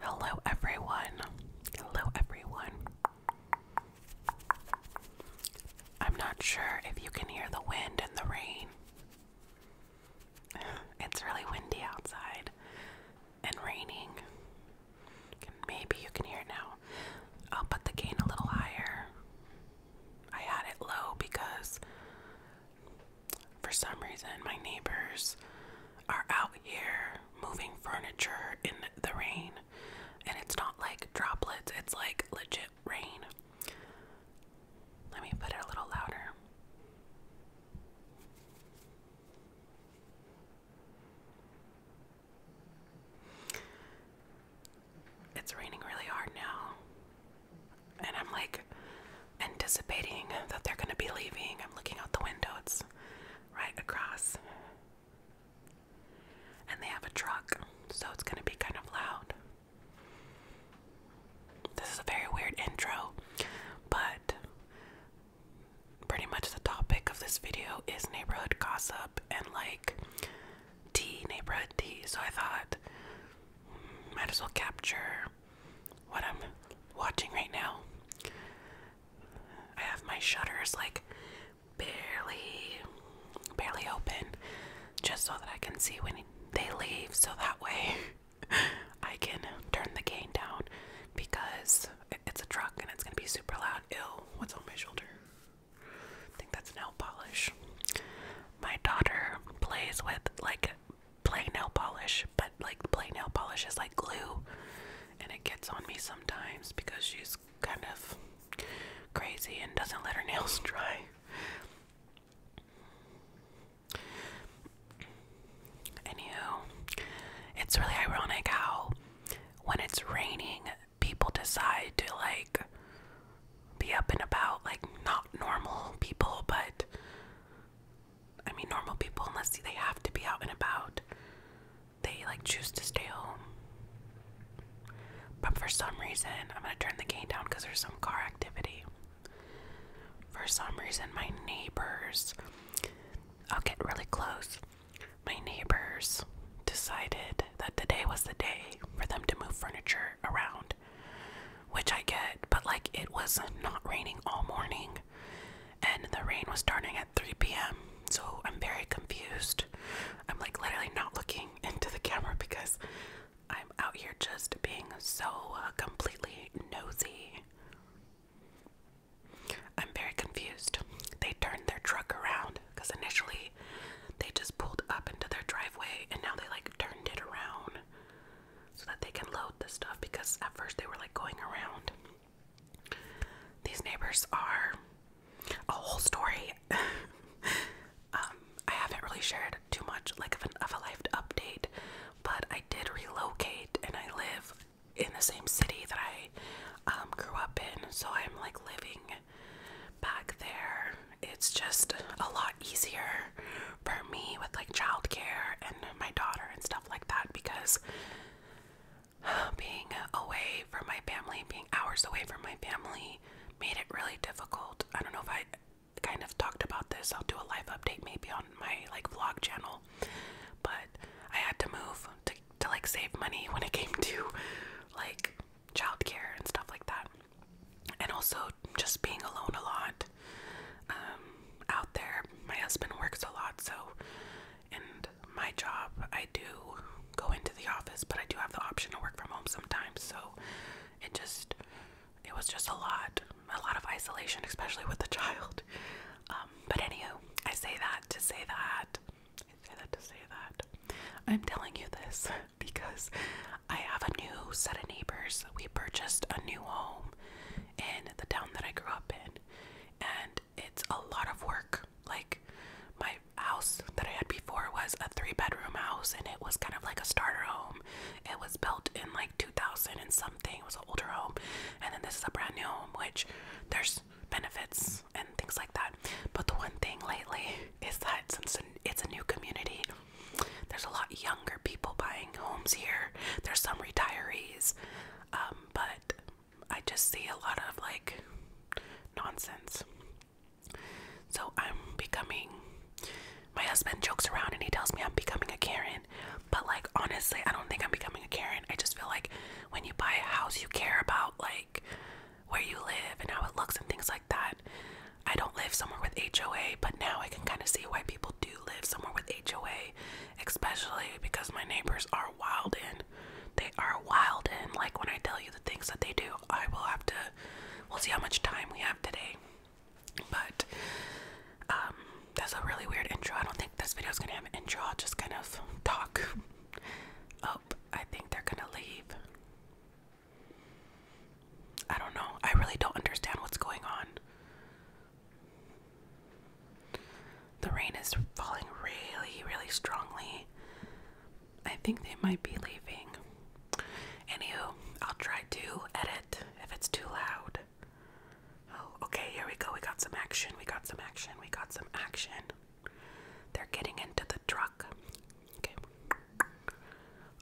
Hello, everyone. Hello, everyone. I'm not sure if you can hear the wind and the rain. It's really windy outside and raining. Maybe you can hear now. I'll put the gain a little higher. I had it low because for some reason my neighbors are out here moving furniture in the rain and it's not like droplets, it's like legit rain. Let me put it a little louder it's raining really hard now. And I'm like anticipating that they're gonna be leaving. I'm looking out the window, it's right across. And they have a truck, so it's gonna be kind of loud. This is a very weird intro, but pretty much the topic of this video is neighborhood gossip and like tea, neighborhood tea. So I thought, hmm, might as well capture what I'm watching right now. I have my shutters like barely, barely open, just so that I can see when they leave. So that way, I can turn the gain down because it's a truck and it's gonna be super loud. Ew, what's on my shoulder? I think that's nail polish. My daughter plays with like plain nail polish, but like plain nail polish is like glue, and it gets on me sometimes because she's kind of crazy and doesn't let her nails dry. Anywho, it's really ironic how when it's raining, people decide to like be up and about like not normal people, but I mean normal people unless they have to be out and about. They like choose to stay home. But for some reason, I'm gonna turn the gain down because there's some car activity. For some reason, my neighbors, I'll get really close. My neighbors decided that today was the day for them to move furniture around, which I get, but like it was not raining all morning and the rain was starting at 3 p.m. So I'm very confused. I'm like literally not looking into the camera because I'm out here just being so uh, completely nosy. I'm very confused. They turned their truck around because initially they just pulled up into their driveway and now they like turned it around so that they can load the stuff because at first they were like going around. These neighbors are a whole story. um, I haven't really shared too much like of, a life update, but I did relocate and I live in the same city that I um, grew up in, so I'm like living back there. It's just a lot easier for me with like childcare and my daughter and stuff like that because being away from my family, being hours away from my family, made it really difficult. I don't know if I kind of talked about this. I'll do a live update maybe on my like vlog channel, but I had to move to to like save money when it came to like childcare and stuff like that and also just being alone a lot um, out there. My husband works a lot, so and my job, I do go into the office, but I do have the option to work from home sometimes. So it just it was just a lot, a lot of isolation, especially with the child. Um, but anywho, I say that to say that. I say that to say that. I'm telling you this because I have a new set of neighbors. We purchased a new home in the town that I grew up in, and it's a lot of work. Like, my house that I had before was a three bedroom house, and it was kind of like a starter home. It was built in like 2000 and something, it was an older home, and then this is a brand new home, which there's benefits and things like that. But the one thing lately is that since it's a new community, there's a lot younger people buying homes here. There's some retirees, um, but I just see a lot of like nonsense. So I'm becoming. My husband jokes around and he tells me I'm becoming a Karen, but like honestly, I don't think I'm becoming a Karen. I just feel like when you buy a house, you care about like where you live and how it looks and things like that. I don't live somewhere with HOA, but now I can kind of see why people do live somewhere with HOA, especially because my neighbors are wild in. They are wild in. Like when I tell you the things that they do, I will have to. We'll see how much time we have today. But um, that's a really weird intro. I don't think this video is gonna have an intro. I'll just kind of talk. Oh, I think they're gonna leave. I don't know. I really don't understand what's going on. The rain is falling really, really strongly. I think they might be leaving. Anywho, I'll try to edit if it's too loud. Oh, okay, here we go. We got some action. We got some action. We got some action. They're getting into the truck. Okay.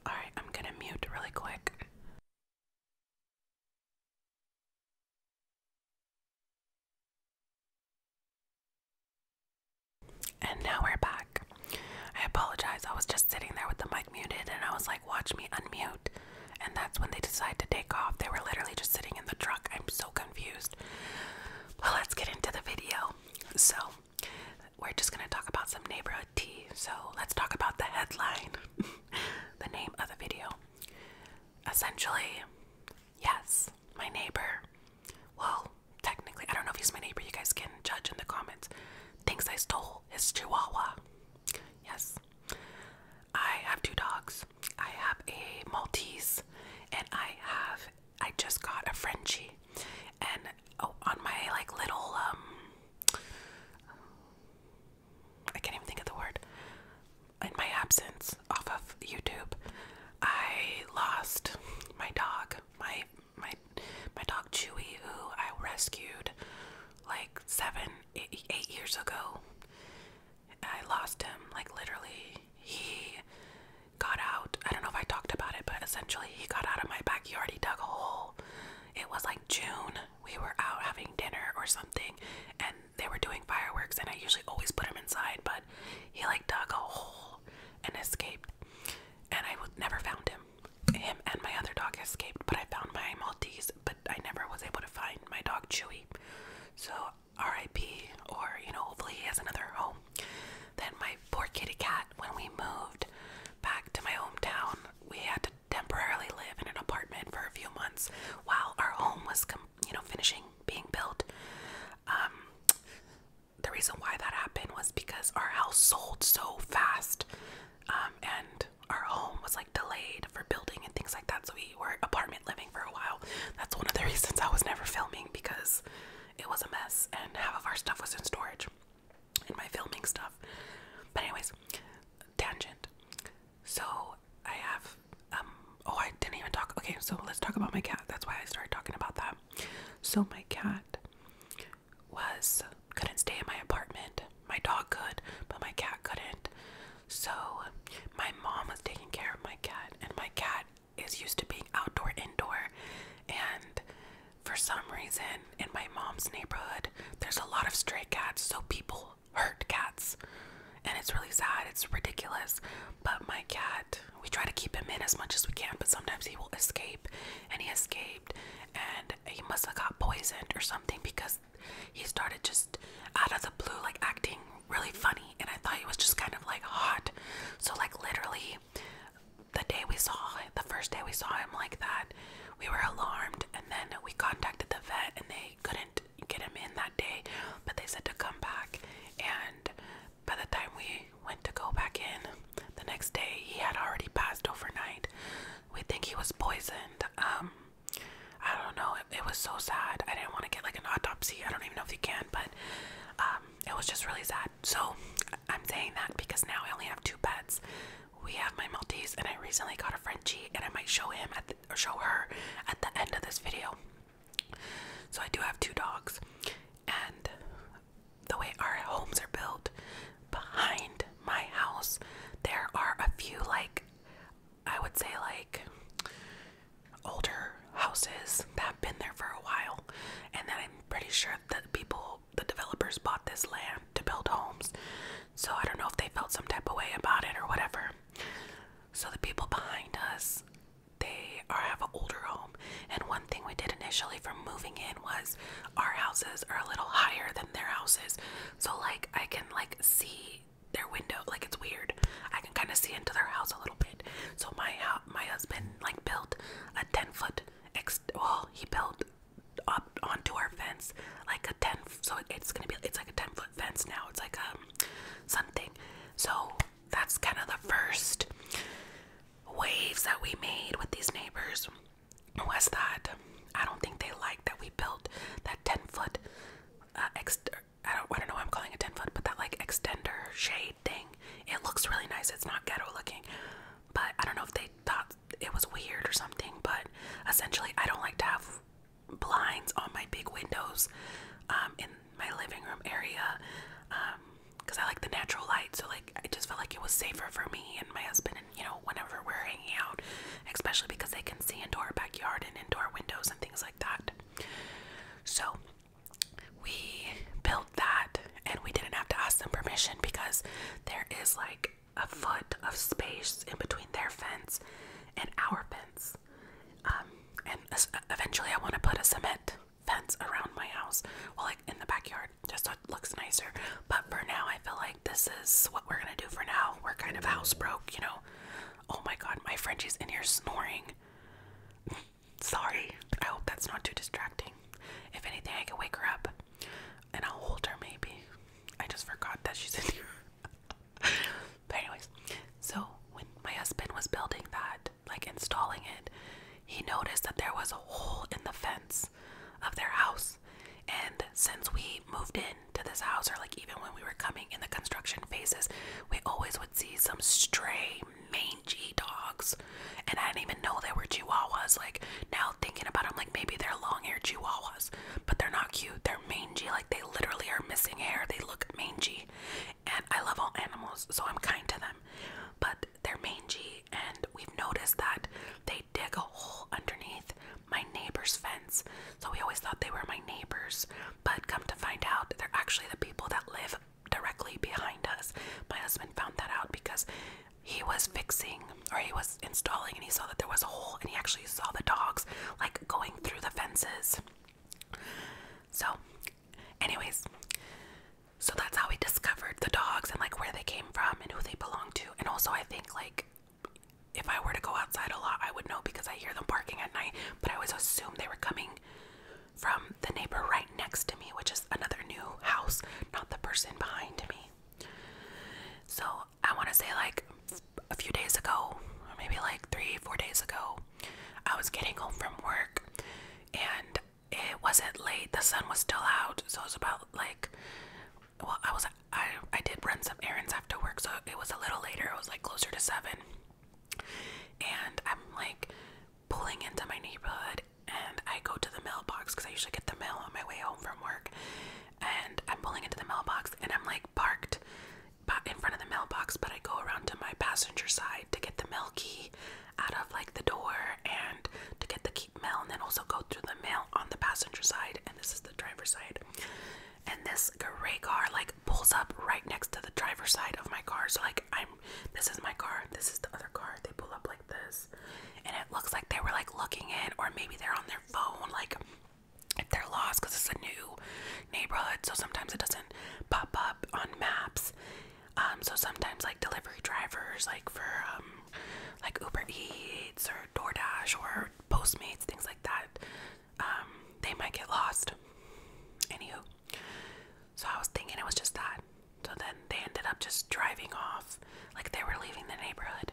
Alright, I'm gonna mute really quick. And now we're back. I apologize, I was just sitting there with the mic muted and I was like, watch me unmute. And that's when they decided to take off. They were literally just sitting in the truck. I'm so confused. Well, let's get into the video. So, we're just going to talk about some neighborhood tea. So let's talk about the headline, the name of the video. Essentially, yes, my neighbor, well, technically, I don't know if he's my neighbor, you guys can judge in the comments, thinks I stole his chihuahua. Yes. I have two dogs. I have a Maltese and I have I just got a Frenchie and oh, on my like little um I can't even think of the word. In my absence off of YouTube, I lost my dog, my my my dog Chewy, who I rescued like seven eight years ago. I lost him, like literally. He got out. I don't know if I talked about it, but essentially he got out of my backyard. He dug a hole. It was like June. We were out having dinner or something, and they were doing fireworks. And I usually always put him inside, but he like dug a hole and escaped. And I never found him. Him and my other dog escaped, but I found my Maltese. But I never was able to find my dog Chewy. So R.I.P. Or you know, hopefully he has another home then my poor kitty cat, when we moved back to my hometown, we had to temporarily live in an apartment for a few months while our home was, you know, finishing being built. Um, the reason why that happened was because our house sold so fast, um, and our home was like delayed for building and things like that. So we were apartment living for a while. That's one of the reasons I was never filming because it was a mess and half of our stuff was in storage much in my filming stuff. But anyways, tangent. So I have um oh I didn't even talk okay, so let's talk about my cat. That's why I started talking about that. So my cat was couldn't stay in my apartment. My dog could, but my cat couldn't. So my mom was taking care of my cat and my cat is used to being outdoor, indoor, and for some reason in my mom's neighborhood, there's a lot of stray cats, so people hurt cats, and it's really sad, it's ridiculous. But my cat, we try to keep him in as much as we can, but sometimes he will escape, and he escaped, and he must have got poisoned or something because he started just out of the blue, like acting really funny, and I thought he was just kind of like hot. So, like, literally, the day we saw him, the first day we saw him like that, we were alarmed and then we contacted the vet and they couldn't get him in that day, but they said to come back and by the time we went to go back in the next day he had already passed overnight. We think he was poisoned. Um I don't know. it was so sad. I didn't want to get like an autopsy. I don't even know if you can, but um it was just really sad so I'm saying that because now I only have two pets. We have my Maltese, and I recently got a Frenchie, and I might show him at or show her at the end of this video. So I do have two dogs, and the way our homes are built, behind my house, there are a few like I would say like older houses that have been there for a while, and then I'm pretty sure sure that people, the developers, bought this land to build homes. So I don't know if they felt some type of way about it or whatever. So the people behind us, they are have an older home. And one thing we did initially from moving in was our houses are a little higher than their houses. So like I can like see their window like it's weird. I can kind of see into their house a little bit. So my my husband like built a 10 foot ex well he built up onto our fence like a 10 so it's gonna be it's like a 10 foot fence now it's like um something so that's kind of the first waves that we made with these neighbors was that i don't think they liked that we built that 10 foot uh, ex I don't, I don't know why I'm calling it 10 foot, but that like extender shade thing it looks really nice. It's not ghetto looking, but I don't know if they thought it was weird or something. But essentially, I don't like to have blinds on my big windows um, in my living room area because um, I like the natural light. So like, I just felt like it was safer for me and my husband, and you know, whenever we're hanging out, especially because they can see into our backyard and indoor windows and things like that. So we built that and we didn't have to ask them permission because there is like a foot of space in between their fence and our fence. Um, and eventually, I want to put a cement fence around my house, well, like in the backyard, just so it looks nicer. But for now, I feel like this is what we're gonna do for now. We're kind of house broke, you know. Oh my god, my friend Frenchie's in here snoring. Sorry. I hope that's not too distracting. If anything, I can wake her up and I'll hold her maybe. I just forgot that she's in here. but, anyways, so when my husband was building that, like installing it, he noticed that there was a hole in the fence of their house. And since we moved in to this house, or like even when we were coming in the construction phases, we always would see some stray mangy dogs. And I didn't even know they were chihuahuas. Like now thinking about them, like maybe they're long-haired chihuahuas, but they're not cute. They're mangy. Like they literally are missing hair. They look mangy. And I love all animals, so I'm kind to them. But they're mangy, and we've noticed that they dig a hole underneath my neighbor's fence. So we always thought they were my neighbors, but come to find out, they're actually the people that live directly behind us. My husband found that out because he was fixing or he was installing and he saw that there was a hole and he actually saw the dogs like going through the fences. So, anyways, so that's how we discovered the dogs and like where they came from and who they belong to. And also, I think like if I were to go outside a lot, I would know because I hear them barking at night, but I always assumed they were coming from the neighbor right next to me, which is another new house, not the person behind me. So I want to say, like a few days ago, maybe like three, four days ago, I was getting home from work and it wasn't late, the sun was still out, so it was about like well, I was I, I did run some errands after work, so it was a little later, it was like closer to seven. And I'm like pulling into my neighborhood and I go to the mailbox because I usually get the mail on my way home from work. And I'm pulling into the mailbox and I'm like parked in front of the mailbox, but I go around to my passenger side to get the mail key out of like the door and to get the key mail and then also go through the mail on the passenger side and this is the driver's side. And this gray car like pulls up right next to the driver's side of my car. So like I'm this is my car, this is the other car. They pull up like this. And it looks like they were like looking in or maybe they're on their phone like if they're lost because it's a new neighborhood, so sometimes it doesn't pop up on maps. Um, so sometimes like delivery drivers, like for um, like Uber Eats or DoorDash or Postmates, things like that, um, they might get lost. Anywho, so I was thinking it was just that. So then they ended up just driving off. Like they were leaving the neighborhood.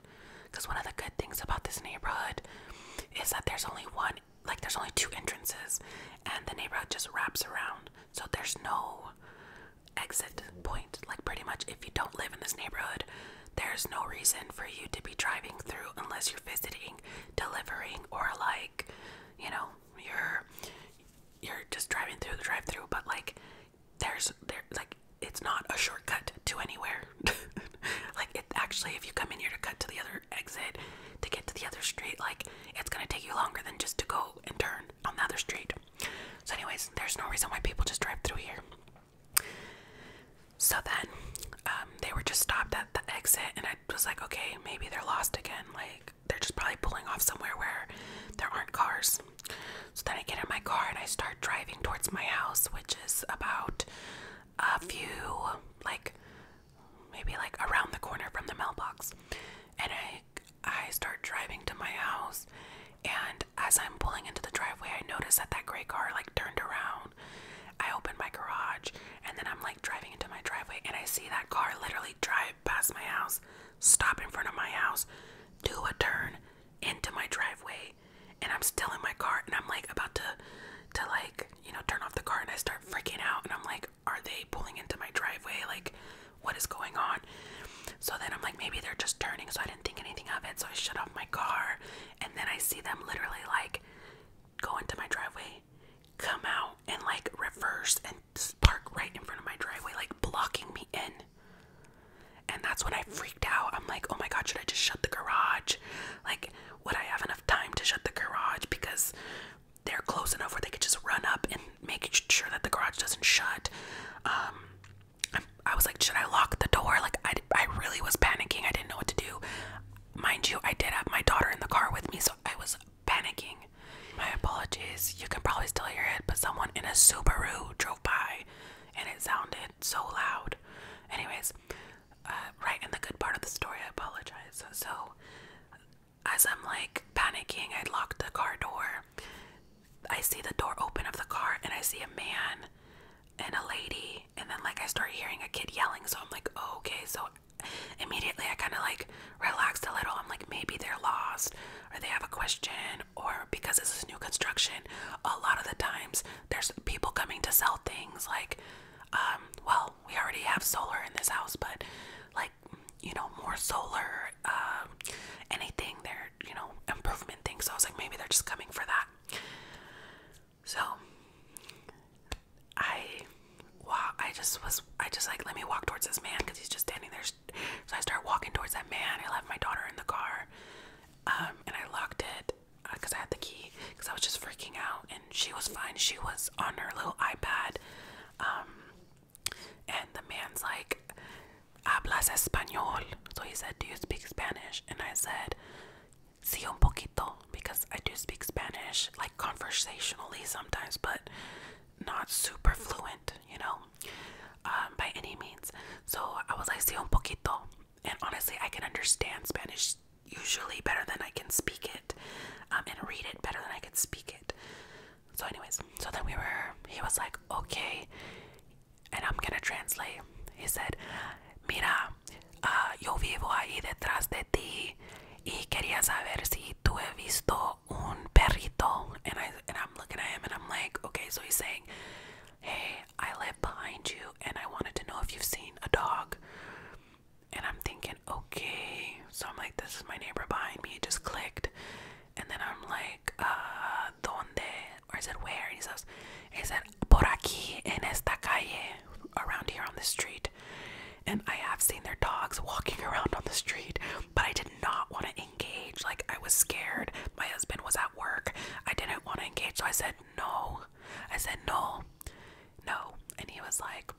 Because one of the good things about this neighborhood is that there's only one, like there's only two entrances, and the neighborhood just wraps around. So there's no exit point. Like pretty much, if you don't live in this neighborhood, there's no reason for you to be driving through unless you're visiting, delivering, or like, you know, you're you're just driving through the drive-through, but like there's there like it's not a shortcut to anywhere. like it actually, if you come in here to cut to the other exit to get to the other street, like it's gonna take you longer than just to go and turn on the other street. So, anyways, there's no reason why people just drive through here. So then, um, they were just stopped at the exit, and I was like, okay, maybe they're lost again. Like, they're just probably pulling off somewhere where there aren't cars. So then I get in my car and I start driving towards my house, which is about a few, like maybe like around the corner from the mailbox. And I I start driving to my house and as I'm pulling into the driveway I notice that that gray car like turned around. I open my garage and then I'm like driving into my driveway and I see that car literally drive past my house, stop in front of my house, do a turn into my driveway, and I'm still in my car and I'm like about to to like, you know, turn off the car and I start freaking out and I'm like, are they pulling into my driveway? Like, what is going on? So then I'm like, maybe they're just turning, so I didn't think anything of it. So I shut off my car and then I see them literally like go into my driveway, come out and like reverse and park right in front of my driveway, like blocking me in. And that's when I freaked out. I'm like, oh my god, should I just shut the garage? Like, would I have enough time to shut the garage? Because they're close enough where they could just run up and make sure that the garage doesn't shut. Um, I, I was like, should I lock the door? Like, I, I really was panicking. I didn't know what to do. Mind you, I did have my daughter in the car with me, so I was panicking. My apologies, you can probably still hear it, but someone in a Subaru drove by and it sounded so loud. Anyways, uh, right in the good part of the story, I apologize. So, as I'm like panicking, I lock the car door. I see the door open of the car and I see a man and a lady, and then like I start hearing a kid yelling, so I'm like, oh, okay, so immediately I kind of like relaxed a little. I'm like, maybe they're lost or they have a question, or because this is new construction, a lot of the times there's people coming to sell things like, um, well, we already have solar in this house, but like, you know, more solar, um, anything there, you know, improvement things. So I was like, maybe they're just coming for that. So I, wow, I just was, I just like, let me walk towards this man because he's just standing there so I started walking towards that man. I left my daughter in the car, um, and I locked it because uh, I had the key. Because I was just freaking out, and she was fine. She was on her little iPad, um, and the man's like, "Hablas español?" So he said, "Do you speak Spanish?" And I said, "Sí, un poquito," because I do speak Spanish, like conversationally sometimes, but not super fluent, you know, um, by any means. So I was like, si un poquito. And honestly, I can understand Spanish usually better than I can speak it um, and read it better than I can speak it. So, anyways, so then we were, he was like, okay, and I'm gonna translate. He said, mira, uh, yo vivo ahí detrás de ti y quería saber si tú he visto un perrito. And, I, and I'm looking at him and I'm like, okay, so he's saying, hey, I live behind you and I wanted to know if you've seen a dog. And I'm thinking, okay. So I'm like, this is my neighbor behind me. It just clicked. And then I'm like, uh, donde? Or is it where? And he says, is it por aquí en esta calle, around here on the street. And I have seen their dogs walking around on the street but I did not want to engage. Like, I was scared. My husband was at work. I didn't want to engage. So I said, no. I said, no, no. And he was like,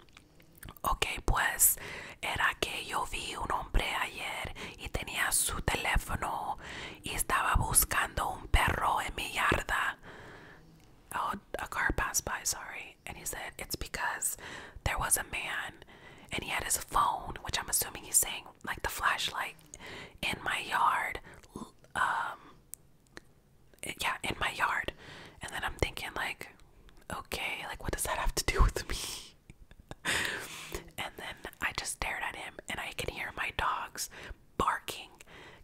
Ok, pues era que yo vi un hombre ayer y tenía su teléfono y estaba buscando un perro en mi yarda. Oh, a car passed by, sorry. And he said, It's because there was a man and he had his phone, which I'm assuming he's saying like the flashlight in my yard. Um, yeah, in my yard. And then I'm thinking like, okay, like what does that have to do with me? and then I just stared at him, and I can hear my dogs barking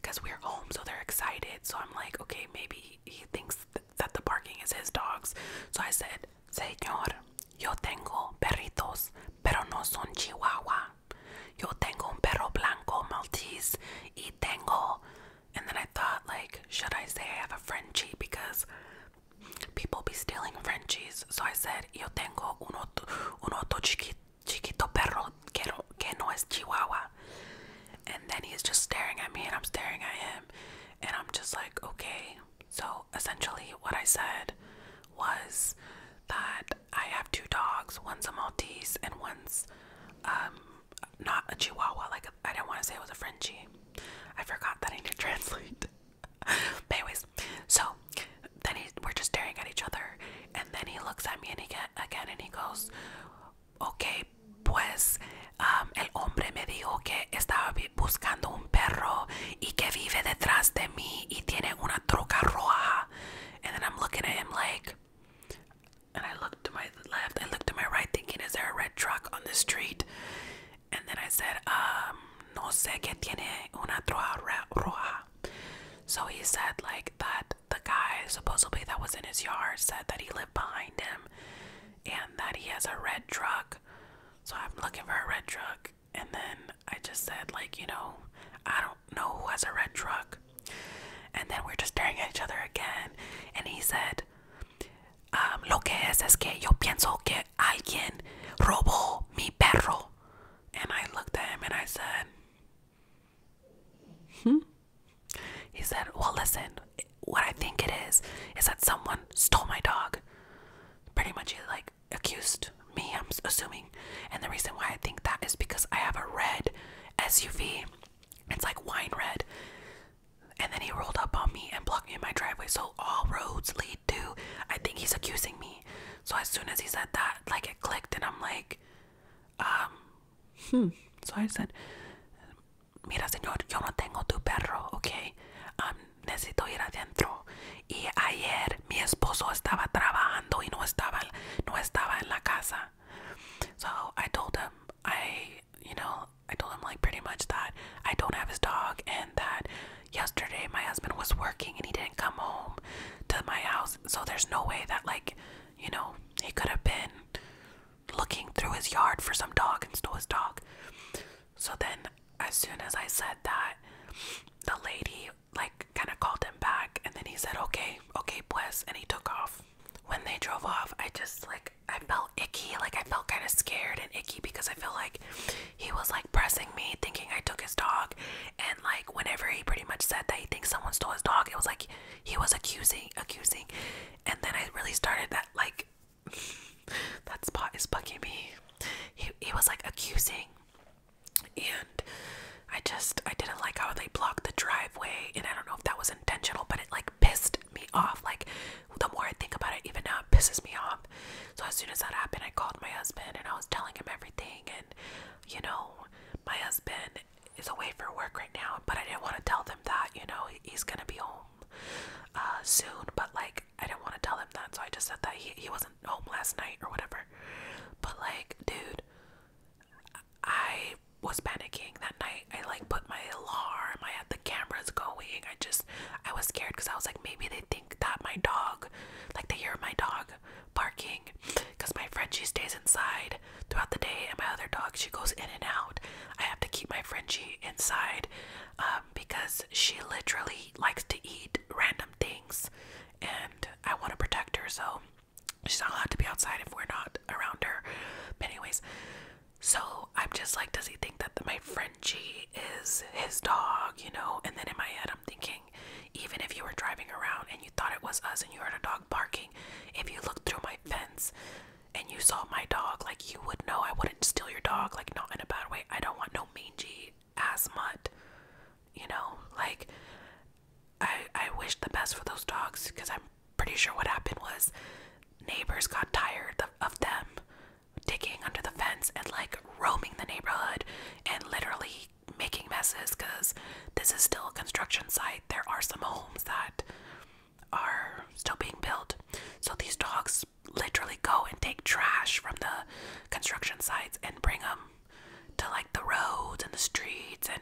because we're home, so they're excited. So I'm like, okay, maybe he thinks that the barking is his dogs. So I said, Señor, yo tengo perritos, pero no son chihuahua. Yo tengo un perro blanco Maltese y tengo. And then I thought, like, should I say I have a Frenchie because people be stealing Frenchies? So I said, yo tengo un otro, un otro chiquito, chiquito perro que no, que no es chihuahua. And then he's just staring at me and I'm staring at him. And I'm just like, okay. So essentially, what I said was that I have two dogs one's a Maltese and one's um, not a Chihuahua. Like, I didn't want to say it was a Frenchie. I forgot that I need to translate. anyways, so then he, we're just staring at each other. And then he looks at me and he get, again and he goes, okay, pues el hombre me dijo que estaba buscando un perro y que vive detrás de mí y tiene una truca roja. And then I'm looking at him like, and I looked to my left, I looked to my right, thinking, is there a red truck on the street? And then I said, um, no sé que tiene una truca roja. So he said, like, that the guy supposedly that was in his yard said that he lived behind him and that he has a red truck. So I'm looking for a red truck. And then I just said, like, you know, I don't know who has a red truck. And then we're just staring at each other again. And he said, um, Lo que es es yo pienso que alguien robó mi perro. And I looked at him and I said, Hmm? He said, Well, listen, what I think it is is that someone stole my dog. Pretty much, like accused me. I'm assuming, and the reason why I think that is because I have a red SUV. It's like wine red. And then he rolled up on me and blocked me in my driveway. So all roads lead to. I think he's accusing me. So as soon as he said that, like it clicked, and I'm like, um, hmm. So I said, mira señor, yo no tengo tu perro, ok. necesito ir adentro. Y ayer mi esposo estaba trabajando y no estaba, no estaba en la casa. So I told him, I, you know, I told him like pretty much that I don't have his dog and that yesterday my husband was working and he didn't come home to my house. So there's no way that like, you know, he could have been looking through his yard for some dog and stole his dog. So then, as soon as I said that, the lady like kind of called him back, and then he said, "Okay, okay, bless," and he took off. When they drove off, I just like I felt icky, like I felt kind of scared and icky because I feel like he was like pressing me, thinking I took his dog, and like whenever he pretty much said that he thinks someone stole his dog, it was like he was accusing, accusing, and then I really started that like that spot is bugging me. He he was like accusing, and I just I didn't like how they blocked the driveway, and I don't know if that was intentional, but it like pissed me off. Like the more I think about it, even now it pisses me off. So as soon as that happened, I called my husband and I was telling him everything, and you know my husband is away for work right now, but I didn't want to tell them that. You know he's gonna be home uh, soon, but like I didn't want to tell him that, so I just said that he he wasn't home last night or whatever. But like, dude, I was panicking that night. I like put my alarm. I had the cameras going. I just I was scared because I was like, maybe they think that my dog, like they hear my dog barking, because my friend stays inside throughout the day, and my other dog she goes in and out. I have to keep my Frenchie inside um, because she literally likes to eat random things, and I want to protect her, so she's not allowed to be outside if we're not around her. But anyways, so I'm just like, does he think that my friend G is his dog? You know? And then in my head, I'm thinking, even if you were driving around and you thought it was us and you heard a dog barking, if you looked through my fence, and you saw my dog, like you would know I wouldn't steal your dog, like not in a bad way. I don't want no mangy ass mutt. You know, like I I wish the best for those dogs because I'm pretty sure what happened was neighbors got tired of, of them digging under the fence and like roaming the neighborhood and literally making messes because this is still a construction site. There are some homes that are still being built. So these dogs literally go and take trash from the construction sites and bring them to like the roads and the streets and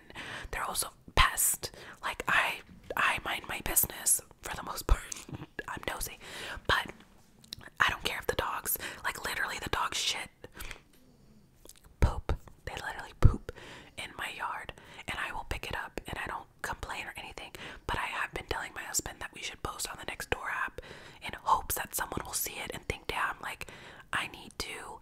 they're also pests. Like I I mind my business for the most part. I'm nosy. But I don't care if the dogs like literally the dog shit poop. They literally poop in my yard and I will pick it up and I don't complain or anything, but I have been telling my husband that we should post on the next door app in hopes that someone will see it and think, damn, like I need to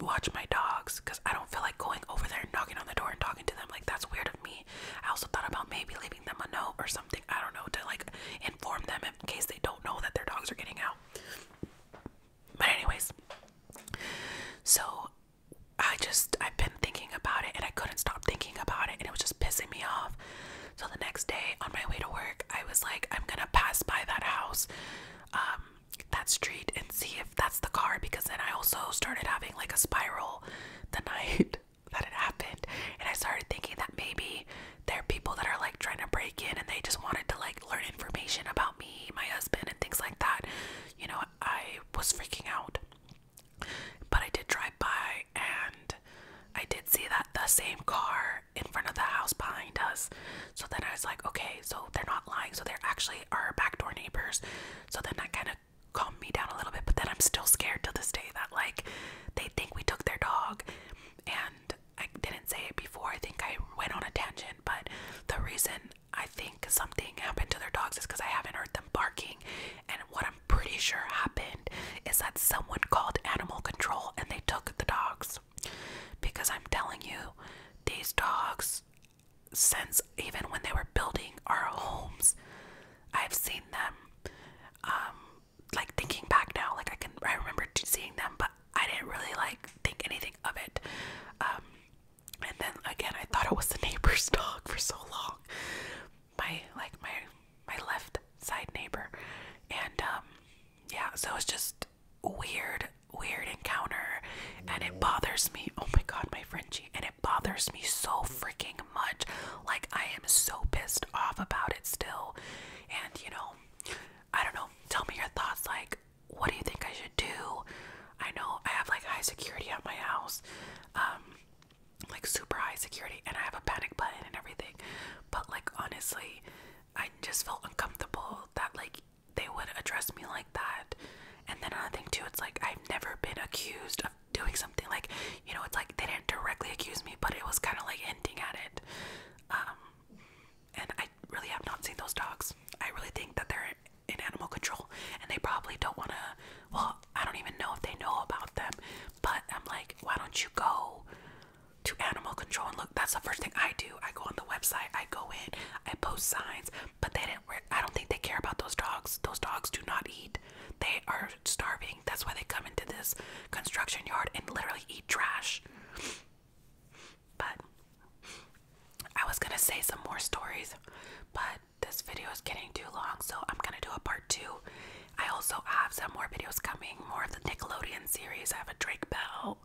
watch my dogs because I don't feel like going over there and knocking on the door and talking to them. Like that's weird of me. I also thought about maybe leaving them a note or something. I don't know to like inform them in case they don't know that their dogs are getting out. But anyways, so I just I've been thinking about it and I couldn't stop thinking about it and it was just pissing me off. So the next day on my way to work, I was like, I'm gonna pass by that house, um, that street and see if that's the car because then I also started having like a spiral the night that it happened and I started thinking that maybe there are people that are like trying to break in and they just wanted to like learn information about me, my husband and things like that. You know, I was freaking out. But I did drive by and I did see that the same car in front of the house behind us. So then I was like, okay, so they're not lying. So they're actually our backdoor neighbors. So then that kind of calmed me down a little bit. But then I'm still scared to this day that, like, they think we took their dog. And I didn't say it before. I think I went on a tangent. But the reason I think. Because something happened to their dogs is because I haven't heard them barking. And what I'm pretty sure happened is that someone called animal control and they took the dogs. Because I'm telling you, these dogs, since even when they were building our homes, I've seen them. Um, like thinking back now, like I can, I remember seeing them, but I didn't really like think anything of it. Um, and then again, I thought it was the neighbor's dog for so long. My like my my left side neighbor, and um, yeah. So it's just weird, weird encounter, and it bothers me. Oh my god, my Frenchie, and it bothers me so freaking much. Like I am so pissed off about it still. And you know, I don't know. Tell me your thoughts. Like, what do you think I should do? I know I have like high security at my house. Um, like super high security and I have a panic button and everything. But like honestly, I just felt uncomfortable that like they would address me like that. And then another thing too, it's like I've never been accused of doing something like, you know, it's like they didn't directly accuse me, but it was kind of like hinting at it. Um, and I really have not seen those dogs. I really think that they're in animal control and they probably don't want to well i don't even know if they know about them but i'm like why don't you go to animal control and look that's the first thing i do i go on the website i go in i post signs but they didn't i don't think they care about those dogs those dogs do not eat they are starving that's why they come into this construction yard and literally eat trash but I was gonna say some more stories, but this video is getting too long, so I'm gonna do a part two. I also have some more videos coming, more of the Nickelodeon series. I have a Drake Bell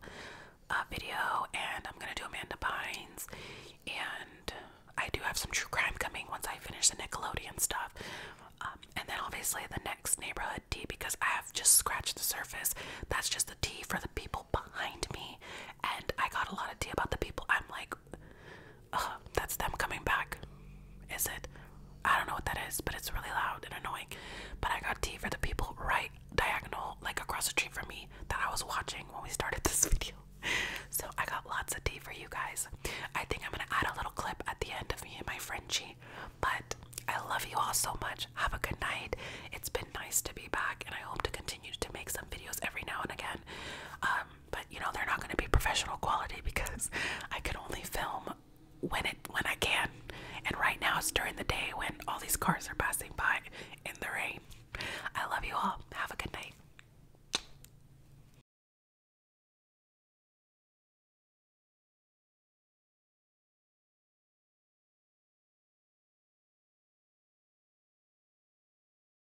uh, video, and I'm gonna do Amanda Bynes. And I do have some true crime coming once I finish the Nickelodeon stuff. Um, and then obviously the next neighborhood T, because I have just scratched the surface. That's just the T for the people behind me. And I got a lot of T about the people I'm like like, that's them coming back. Is it? I don't know what that is, but it's really loud and annoying. But I got tea for the people right diagonal, like across the street from me that I was watching when we started this video. So I got lots of tea for you guys. I think I'm gonna add a little clip at the end of me and my Frenchie. But I love you all so much. Have a good night. It's been nice to be back, and I hope to continue to make some videos every now and again. Um, but you know they're not going to be professional quality because I can only film when it when I can. And right now it's during the day when all these cars are passing by in the rain. I love you all. Have a good night.